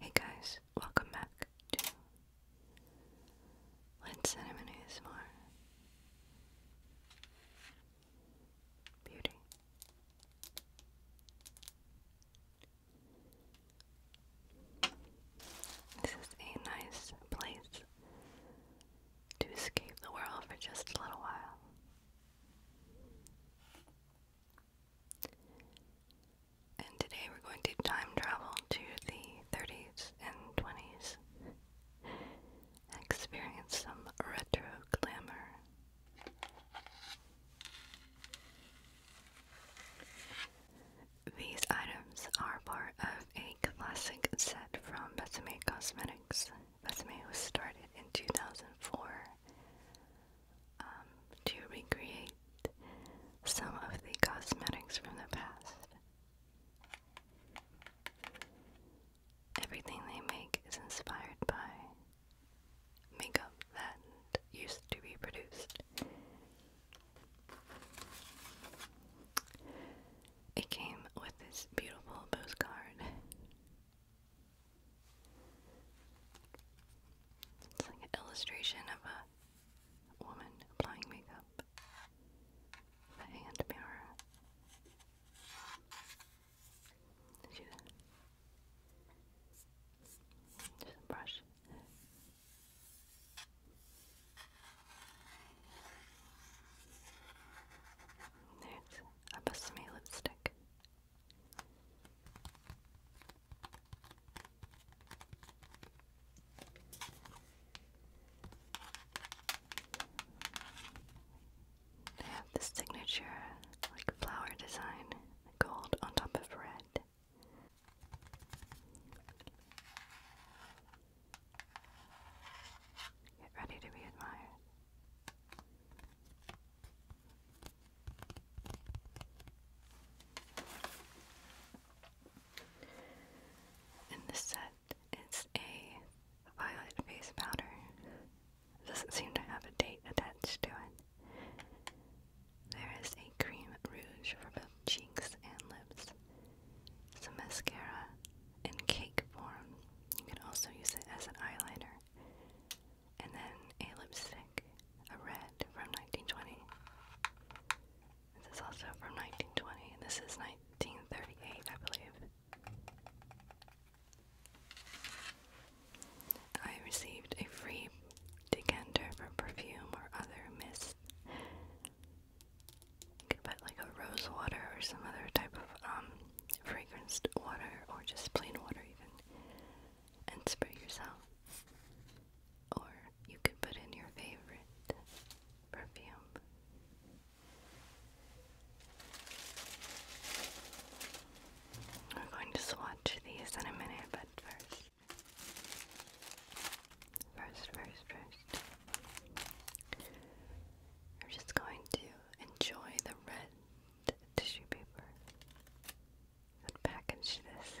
Hey guys, welcome back to Lynn Cinnamon ASMR Beauty. This is a nice place to escape the world for just a little while. And today we're going to time travel to the 30s and 20s. Experience some retro glamour. These items are part of a classic set from Besame Cosmetics. Besame was started in 2004 um, to recreate some of the cosmetics from the past. Everything they make is inspired by makeup that used to be produced. It came with this beautiful postcard. It's like an illustration of a woman applying makeup. A hand mirror. She's just a brush. There's a Besame lipstick. They have the signature, like flower design, gold on top of red. Get ready to be admired. And this set is a violet base powder. doesn't seem to have a date attached to it. There is a cream rouge for both cheeks and lips. Some mascara in cake form. You can also use it as an eyeliner and then a lipstick, a red from 1920. This is also from 1920, this is 1938, I believe. I received a free decanter for perfume or other mist. You could put like a rose water or some other type of um, fragranced water or just plain water even and spray yourself. Or you could put in your favorite perfume. We're going to swatch these in a minute, but first. First, first, first. We're just going to enjoy the red tissue paper. What package this?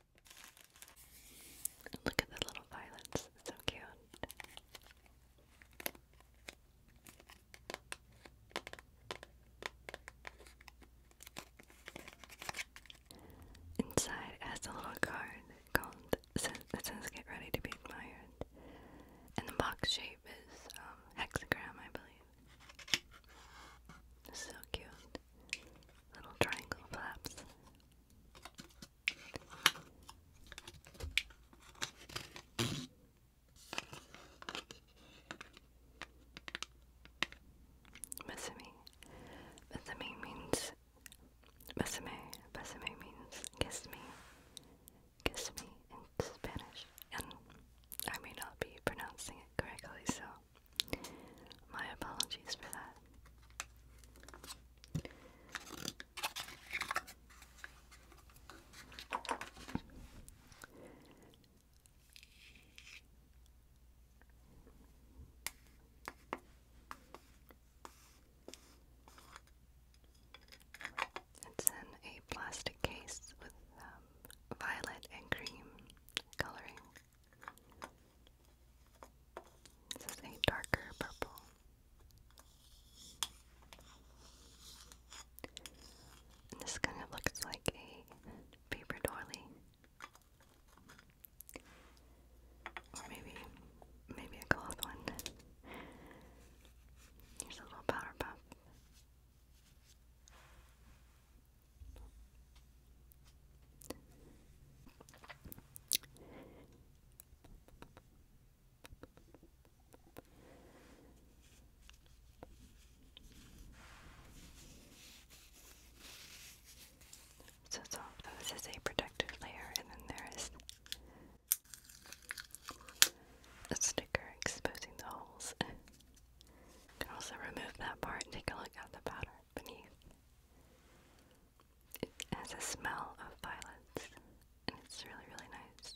Look at the little violets, so cute. Inside has a little card called that says get ready to be admired. And the box shape is um, hexagram, I believe. So cute little triangle flaps. Besame. Besame means besame. Besame means kiss me. Kiss me in Spanish. And I may not be pronouncing it correctly, so my apologies for that. It's in a plastic case with um, violet and cream coloring. This is a darker purple. this kind of looks like a paper doily. Or maybe maybe a cloth one. Here's a little powder puff. So, so oh, this is a protective layer, and then there is a sticker exposing the holes. you can also remove that part and take a look at the pattern beneath. It has a smell of violets, and it's really, really nice.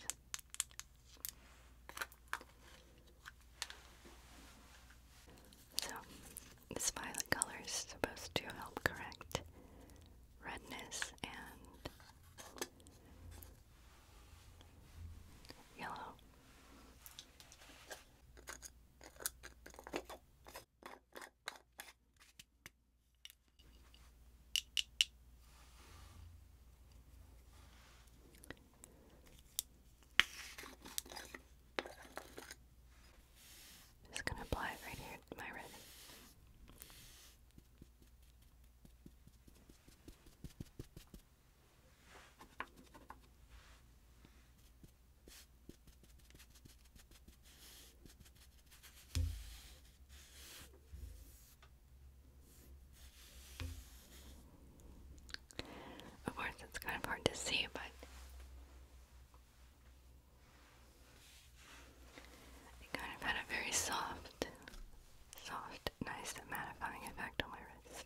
So, this violet color is supposed to help correct redness and yellow. I'm just going to apply it right here to my red. Of course, it's kind of hard to see, but it kind of had a very soft, soft, nice mattifying effect on my wrist.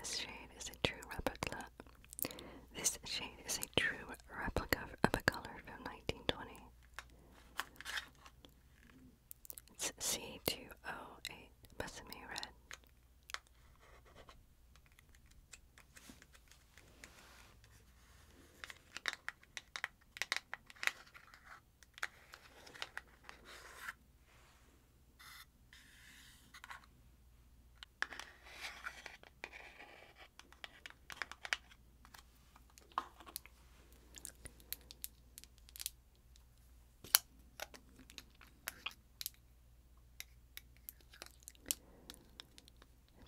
This shade is a true replica. This shade is a true replica of a color from 1920. It's C208 Besame Red.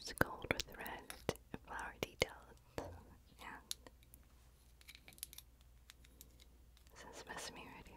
It's gold with red flower details and this is sesame right here.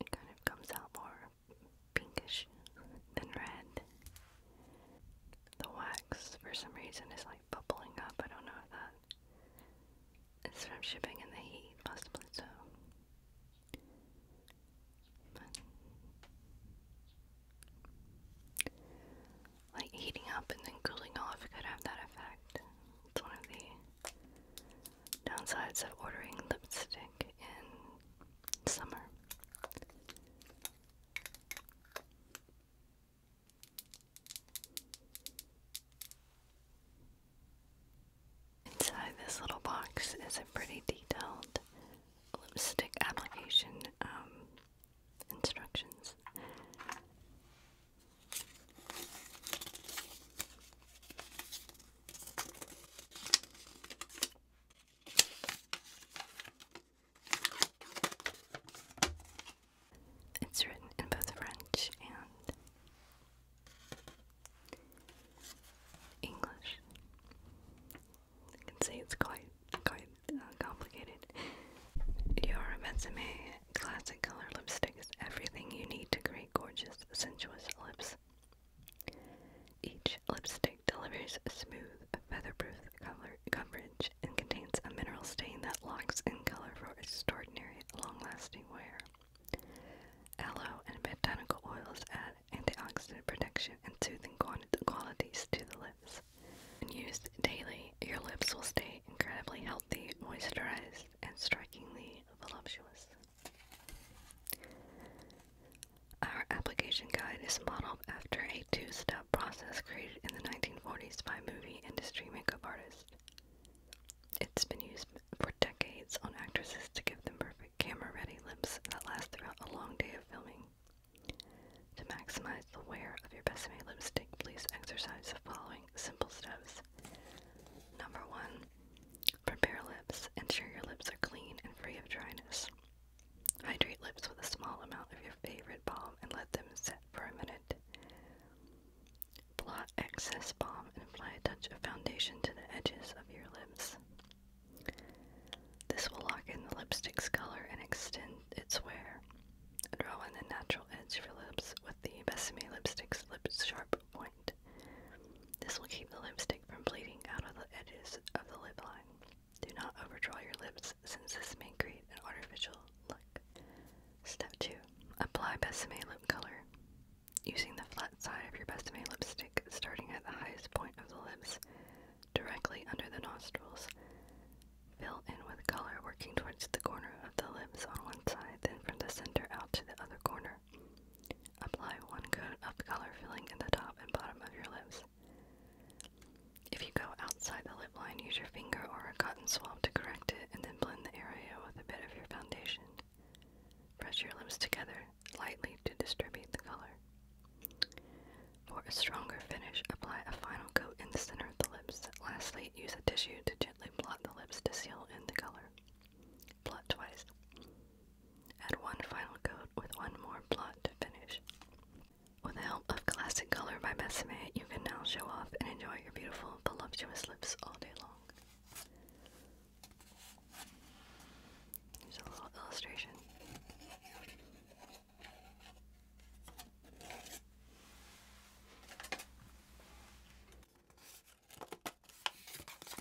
it kind of comes out more pinkish than red. The wax, for some reason, is like bubbling up. I don't know if that is from shipping in the heat, possibly so. like heating up and then cooling off could have that effect. It's one of the downsides of ordering lipstick in summer. Inside this little box is a pretty detailed lipstick application um, instructions. It's written in both French and English. You can see it's quite quite uh, complicated. Your Mezame classic color lipstick is everything you need to create gorgeous, sensuous lips. Each lipstick delivers smooth, featherproof color coverage and contains a mineral stain that locks in color for extraordinary, long-lasting wear. Aloe and botanical oils add antioxidant protection and soothing qualities to the lips. And used daily, your lips will stay incredibly healthy, moisturized, and strikingly voluptuous. Our application guide is modeled after a two-step process created in the 1940s by movie industry makeup artist. It's been used for decades on actresses to give them perfect camera-ready lips that last throughout a long day of filming. To maximize the wear of your best made lipstick, please exercise the following simple steps. Number one, Prepare lips. Ensure your lips are clean and free of dryness. Hydrate lips with a small amount of your favorite balm and let them set for a minute. Blot excess balm and apply a touch of foundation to the edges of your lips. This will lock in the lipstick's color and extend its wear. Draw in the natural edge of your lips with the Besame lipstick's lip sharp point. This will keep the lipstick from bleeding out of the edges of the lip line. Do not overdraw your lips since this may create an artificial look. Step 2. Apply Besame lip color. Using the flat side of your Besame lipstick starting at the highest point of the lips, directly under the nostrils. Fill in with color working towards the corner of the lips on one side, then from the center out to the other corner Apply one coat of color filling in the top and bottom of your lips. If you go outside the lip line, use your finger or a cotton swab to correct it and then blend the area with a bit of your foundation. Press your lips together lightly to distribute the color. For a stronger finish, apply a final coat in the center of the lips. Lastly, use a tissue to gently blot the lips to seal in the color. Blot twice. Add one final coat with one more blot to finish. With the help of Classic Color by Besame, you can now show off and enjoy your beautiful, voluptuous lips all day long. Here's a little illustration.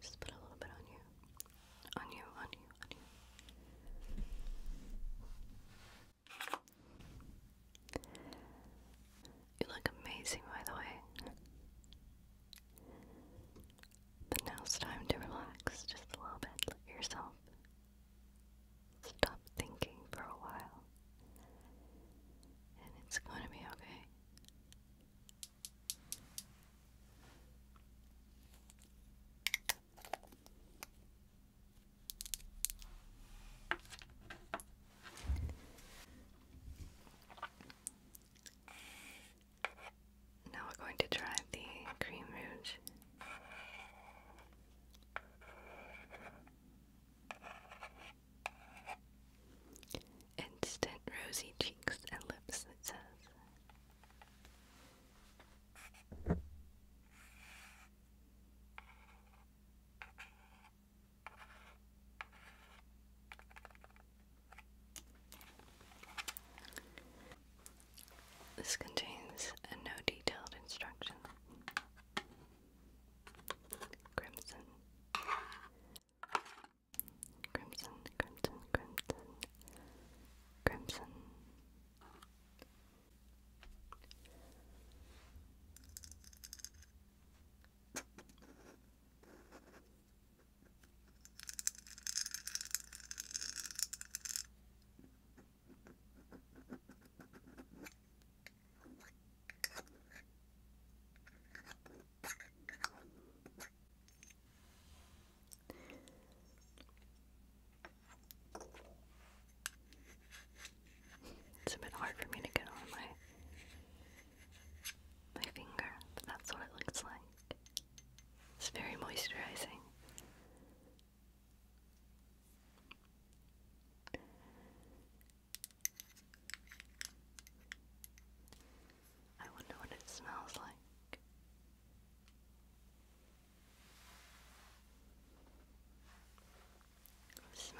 Just put a little bit on you, on you, on you, on you. You look amazing, by the way. But now it's time to relax just a little bit. Let yourself stop thinking for a while. And it's going to be okay. Now we're going to try the cream rouge. Instant rosy cheeks and lips, it says. This contains no detailed instructions. Crimson. Crimson, crimson, crimson, crimson. It's a bit hard for me to get on my my finger. That's what it looks like. It's very moisturizing. I wonder what it smells like.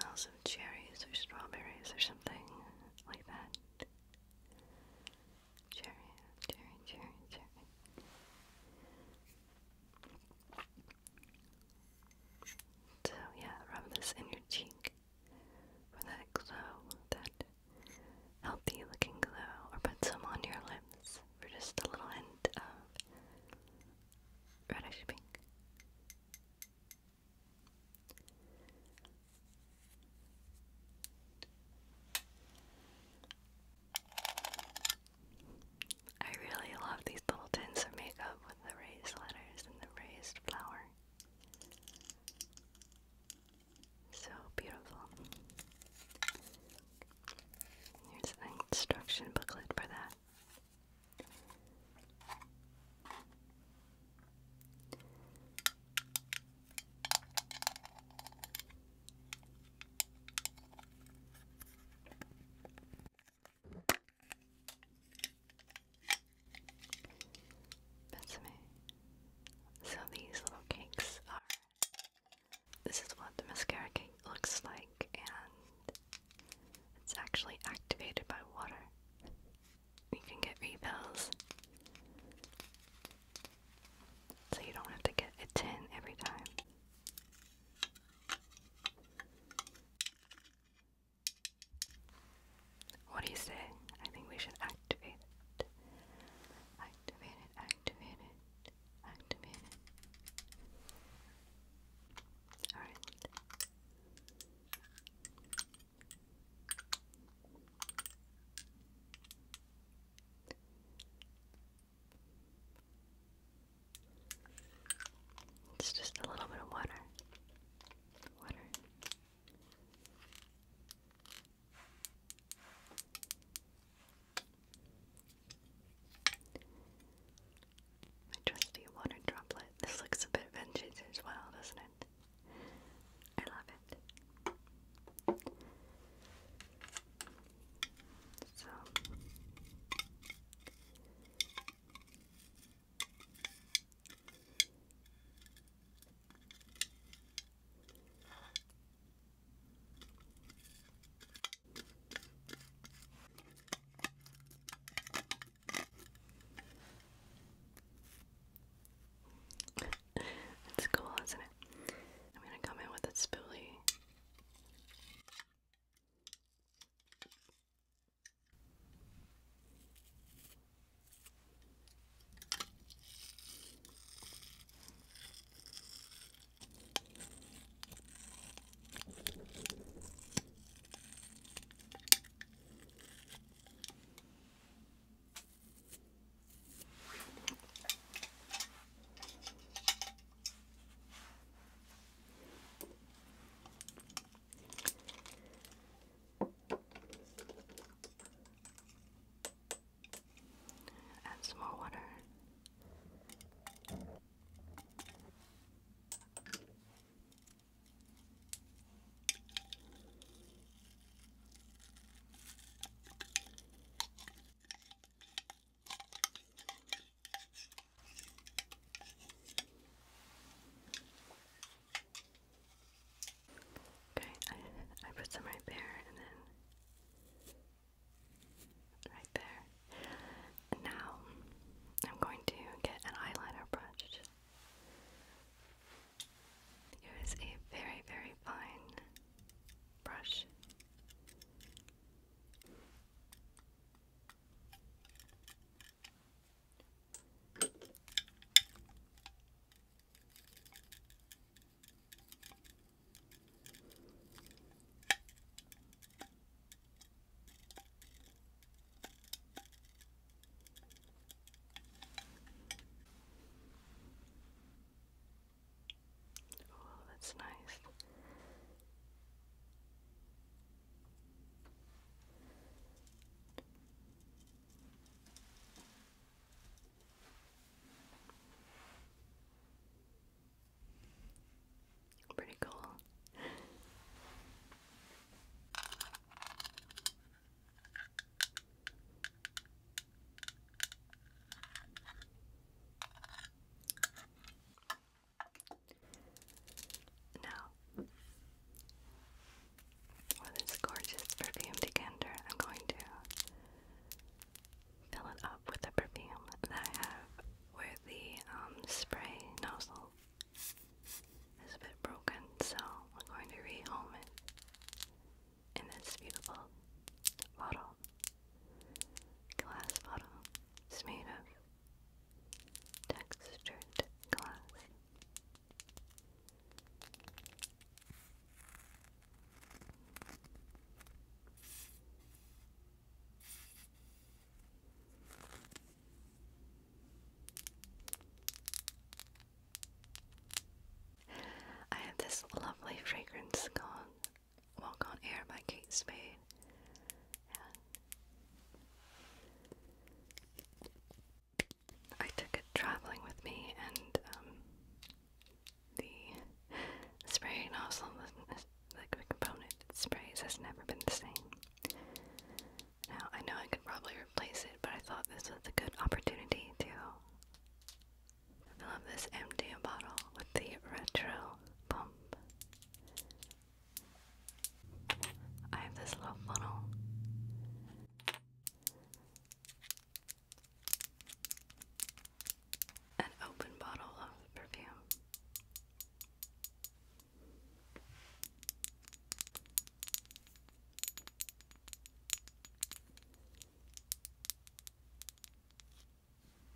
smells of cherries or strawberries or something like that. Cherry, cherry, cherry, cherry. So yeah, rub this in your cheek for that glow, that healthy looking glow, or put some on your lips for just a little hint of reddish pink. I really love these little tins of makeup with the raised letters and the raised flower. So beautiful. Here's an instruction booklet for that. That's me. So these little cakes are. This is what the mascara cake looks like, and it's actually activated by water you can get refills. So you don't have to get a tin every time. What do you say? I think we should activate it. Activate it, activate it, activate it. Alright. It's just a little bit of water. Water. My trusty water droplet. This looks a bit vintage as well, doesn't it? it. I love it. So it's cool, isn't it? I'm gonna come in with a spoolie. Add some more water. Okay, I, put some right there and then right there. Now I'm going to get an eyeliner brush. Use a very, very fine brush. Oh, that's nice. Pretty cool. Now, with this gorgeous perfume decanter, I'm going to fill it up with the perfume that I have where the um, spray nozzle is a bit broken, so I'm going to rehome it in this beautiful bottle. Glass bottle. It's made of textured glass. I have this lovely fragrance called Walk on Air by Kate Spade. I took it traveling with me, and um, the spray nozzle, the component sprays, has never been the same. Now, I know I could probably replace it, but I thought this was a good opportunity to fill up this empty bottle with the retro pump. I have this little funnel. An open bottle of perfume.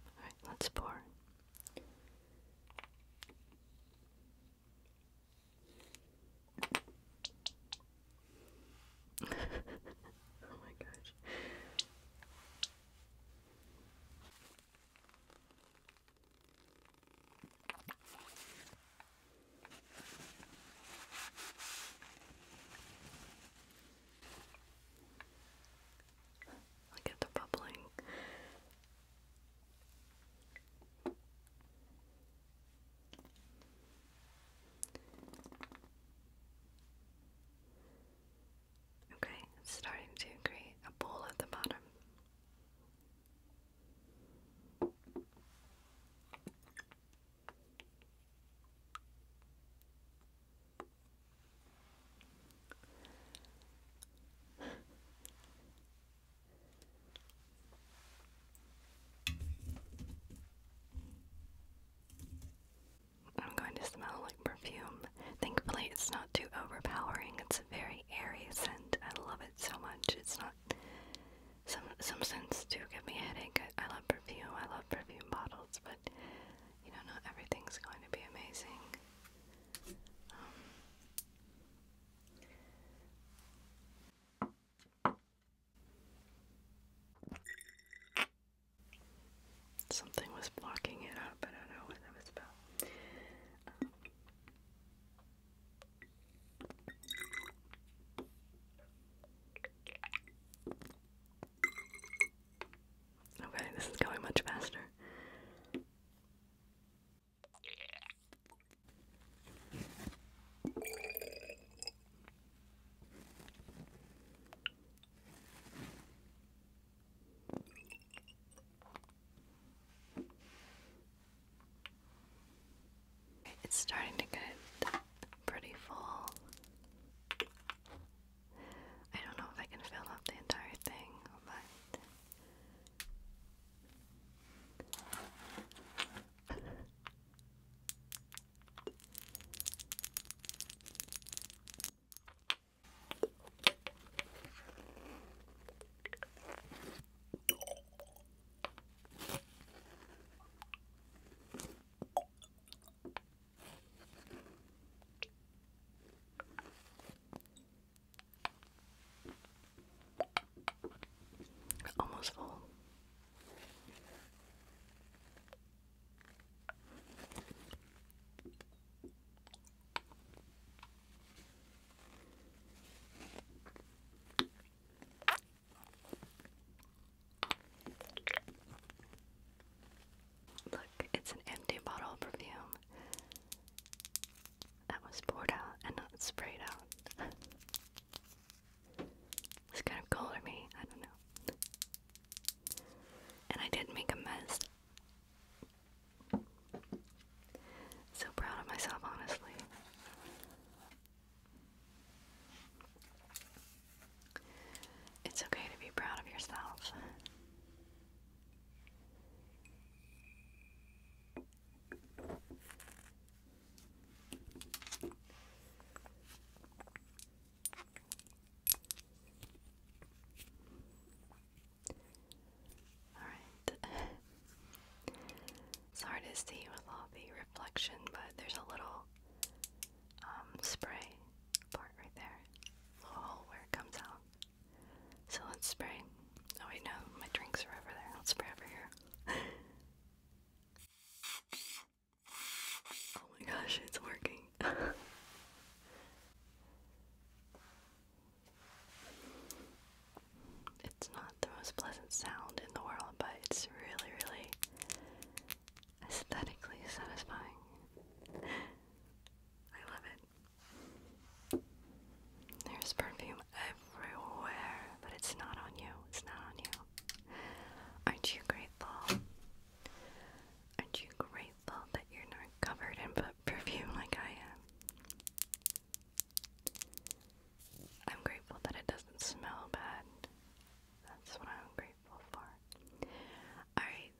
All right, let's pour. oh my gosh. Look at the bubbling. Okay, starting to create a bowl at the bottom. I'm going to smell like perfume. Thankfully, it's not too overpowering. It's a very airy scent. I love it so much. It's not some some scents do give me a headache. I, love perfume. I love perfume bottles, but you know, not everything's going to be amazing. Um, something was blocking it up. I don't know what that was about. Um, Okay, this is going much faster. It's starting to get pretty full. I don't know if I can fill up the entire thing, but. Almost full. Look, it's an empty bottle of perfume that was poured out and not sprayed out. it's kind of cool to me, I don't know. And I did make a mess. So proud of myself, honestly. It's okay to be proud of yourself. All right. It's hard to see with all the reflection, but there's a little um, spray part right there. Little hole where it comes out. So let's spray. Oh wait, no, my drinks are over there. Let's spray over here. oh my gosh, it's working. It's not the most pleasant sound in the world, but it's really, really aesthetically satisfying. I love it. There's perfume everywhere, but it's not on you. It's not on you. Aren't you grateful? Aren't you grateful that you're not covered in perfume like I am? I'm grateful that it doesn't smell bad. That's what I'm grateful for. Alright.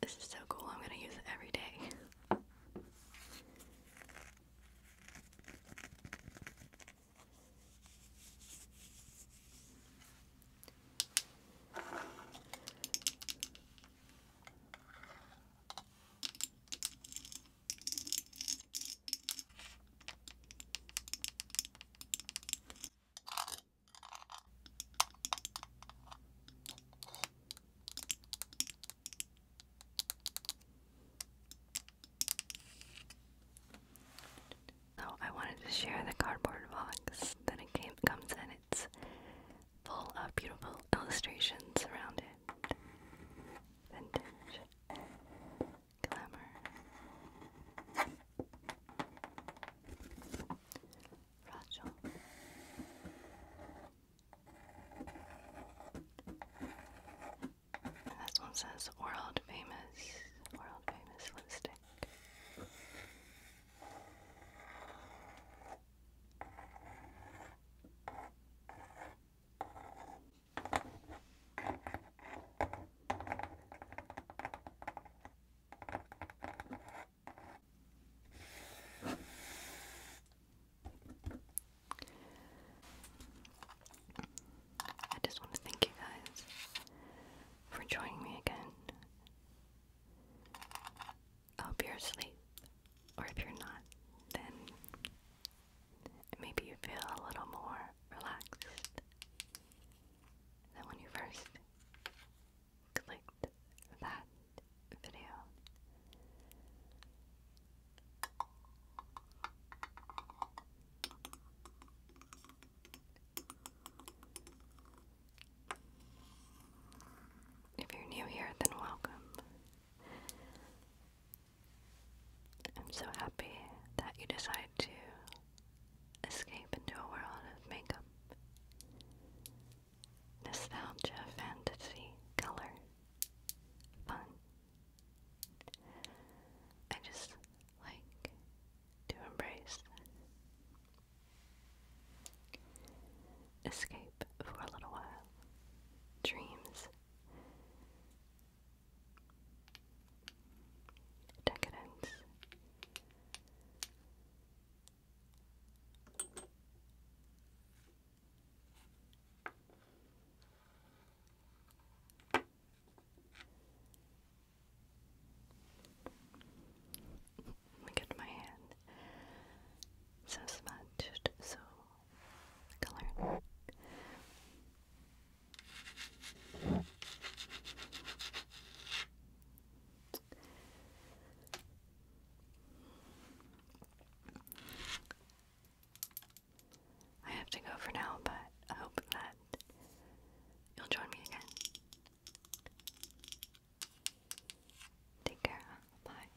This is so cool. I'm going to use it every day. So I wanted to share the cardboard box that it comes in. It's full of beautiful illustrations around it vintage glamour. This one says world famous, world famous lipstick. I just want to thank you guys for joining me again. I hope you're asleep, or if you're not, then maybe you feel a little more relaxed than when you first clicked that video. If you're new here, then welcome. I'm so happy that you decide to escape into a world of makeup, nostalgia, fantasy, color, fun. I just like to embrace escape for a little while, dreams Decadence. Look at my hand. So smudged, so color. I have to go for now, but I hope that you'll join me again. Take care. Bye.